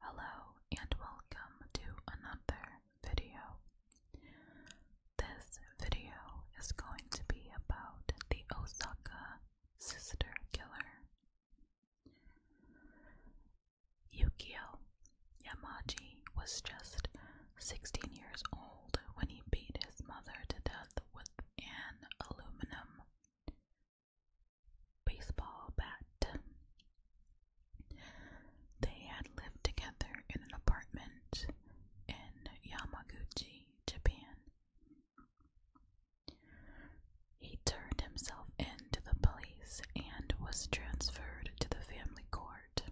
Hello and welcome to another video. This video is going to be about the Osaka sister killer. Yukio Yamaji was just 16 years old when he beat his mother to death with an aluminum baseball bat. They had lived together in an apartment in Yamaguchi, Japan. He turned himself in to the police and was transferred to the family court.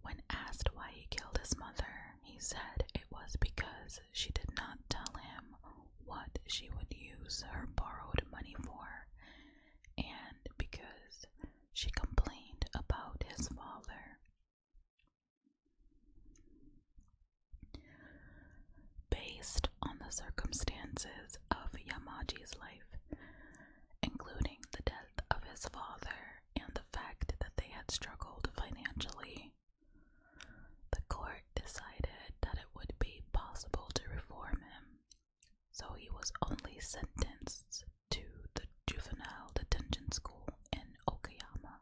When asked why he killed his mother, he said it was because she did not tell him what she would use her borrowed money for and because she complained about his father Based on the circumstances of Yamaji's life, including the death of his father and the fact that they had struggled financially, the court decided that it would be possible to reform him, so he was only sentenced to the juvenile detention school in Okayama.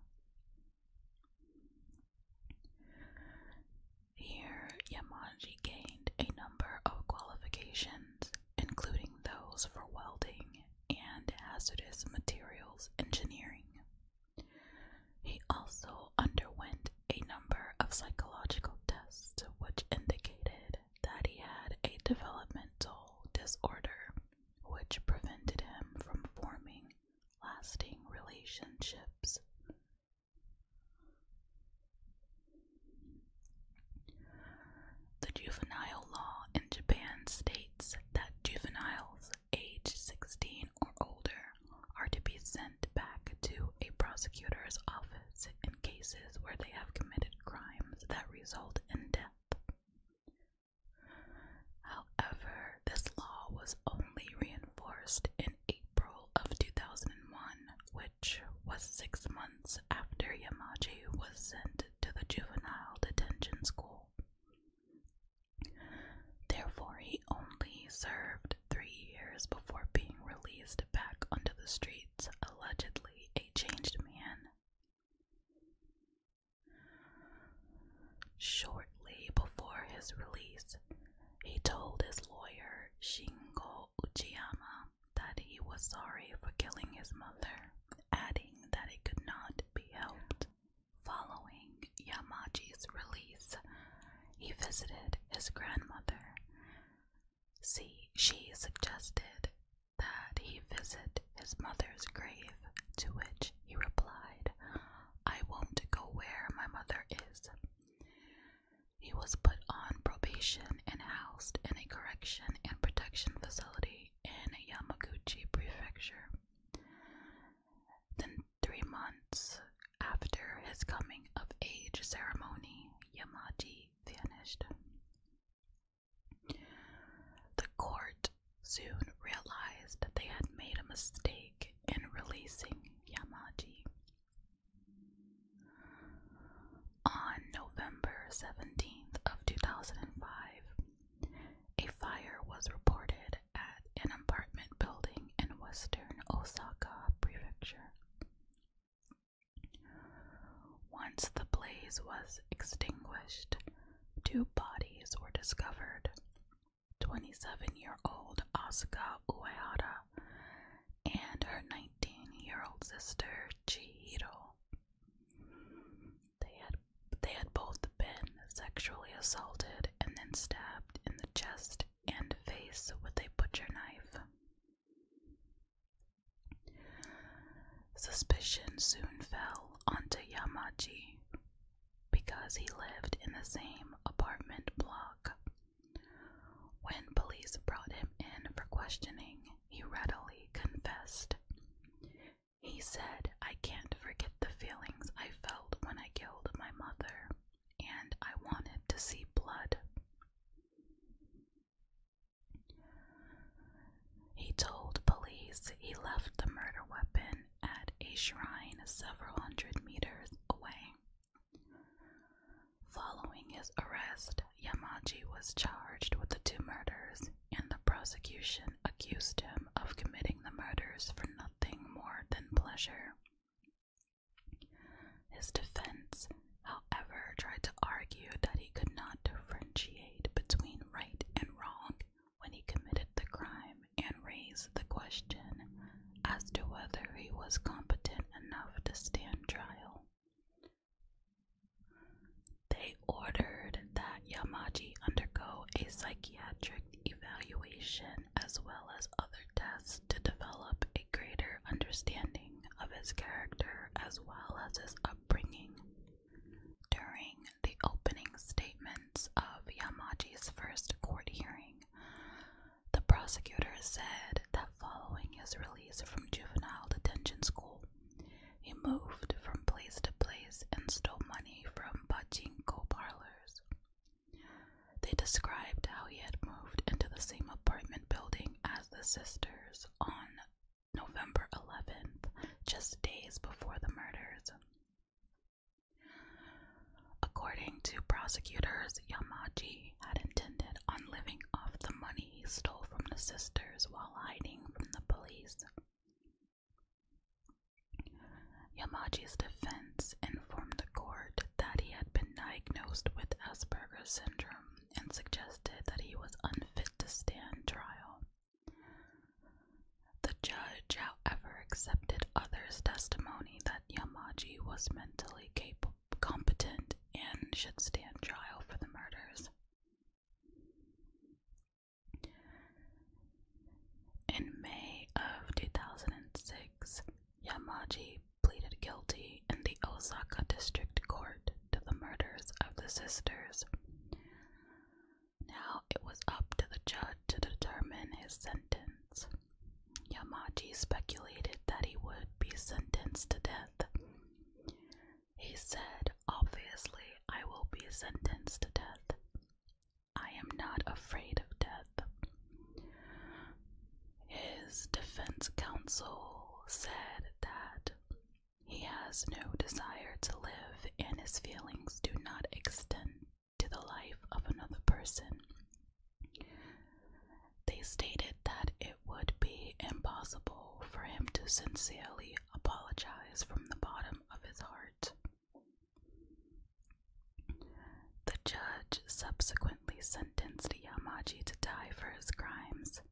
Here, Yamanji gained a number of qualifications, including those for welding and hazardous materials engineering. He also underwent a number of psychological tests which indicated that he had a developmental disorder which prevented him from forming lasting relationships. The juvenile law in Japan states that juveniles aged 16 or older are to be sent back to a prosecutor's office in cases where they have committed crimes that result in death. However, this law was only reinforced in April of 2001, which was six months after Yamaji was sent to the juvenile detention school. Therefore, he only served three years before being released back onto the streets, allegedly a changed man. Shortly before his release, he told his lawyer Shingo Uchiyama that he was sorry for killing his mother, adding that it could not be helped. Following Yamaji's release, he visited his grandmother. See, she suggested that he visit his mother's grave, to which he replied, I won't go where my mother is. He was put on probation and housed in a correction and protection facility in Yamaguchi Prefecture. Then, three months after his coming of age ceremony, Yamaji vanished. The court soon realized that they had made a mistake in releasing Yamaji. On November 17th of 2005, a fire was reported at an apartment building in western Osaka Prefecture. Once the blaze was extinguished, two bodies were discovered 27 year old Asuka Uehara and her 19 year old sister Chihiro. They had, they had both been sexually assaulted and then stabbed in the chest and face with a butcher knife. Suspicion soon fell onto Yamaji because he lived in the same apartment block. When police brought him in for questioning, he readily confessed. He said, I can't forget the feelings I felt when I killed my mother, and I wanted to see blood. He told police he left the murder weapon at a shrine several hundred meters away. Following his arrest, Yamaji was charged with the two murders, and the prosecution accused him of committing the murders for nothing more than pleasure. His defense, however, tried to argue that he could not differentiate between right and wrong when he committed the crime and raised the question as to whether he was competent enough to stand trial. They ordered that Yamaji undergo a psychiatric evaluation as well as other tests to develop greater understanding of his character as well as his upbringing. During the opening statements of Yamaji's first court hearing, the prosecutor said that following his release from juvenile detention school, he moved from place to place and stole money from pachinko parlors. They described how he had moved into the same apartment building as the sisters on November 11th, just days before the murders. According to prosecutors, Yamaji had intended on living off the money he stole from the sisters while hiding from the police. Yamaji's defense informed the court that he had been diagnosed with Asperger's syndrome and suggested that he was unfit to stand trial. The judge, however, accepted others' testimony that Yamaji was mentally capable, competent and should stand trial for the murders. In May of 2006, Yamaji pleaded guilty in the Osaka District Court to the murders of the sisters. Now it was up to the judge to determine his sentence. Yamaji speculated that he would be sentenced to death. He said, Obviously, I will be sentenced to death. I am not afraid of death. His defense counsel said that he has no desire to live and his feelings do not extend to the life of another person. They stated that it would be impossible for him to sincerely apologize from the bottom of his heart. The judge subsequently sentenced Yamaji to die for his crimes.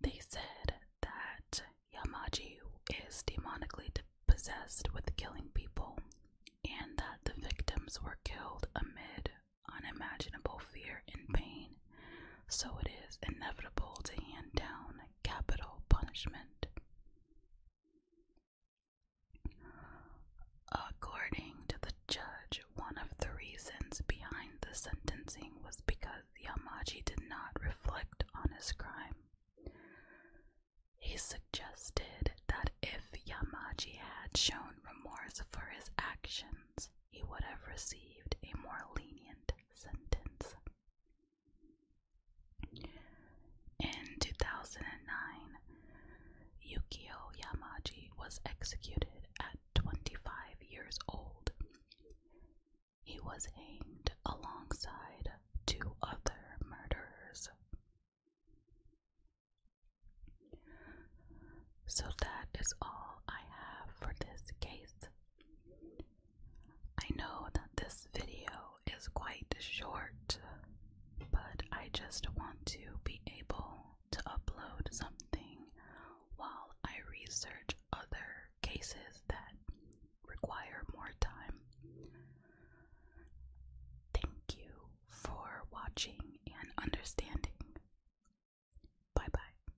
They said that Yamaji is demonically possessed with killing people, and that the victims were killed amid unimaginable fear and pain, so it is inevitable to hand down capital punishment. According to the judge, one of the reasons behind the sentencing was because Yamaji did not reflect on his crime. He suggested that if Yamaji had shown remorse for his actions, he would have received a more lenient sentence. In 2009, Yukio Yamaji was executed at 25 years old. He was hanged alongside two other murderers. So that is all I have for this case. I know that this video is quite short, but I just want to be able to upload something while I research other cases that require more time. Thank you for watching and understanding. Bye bye.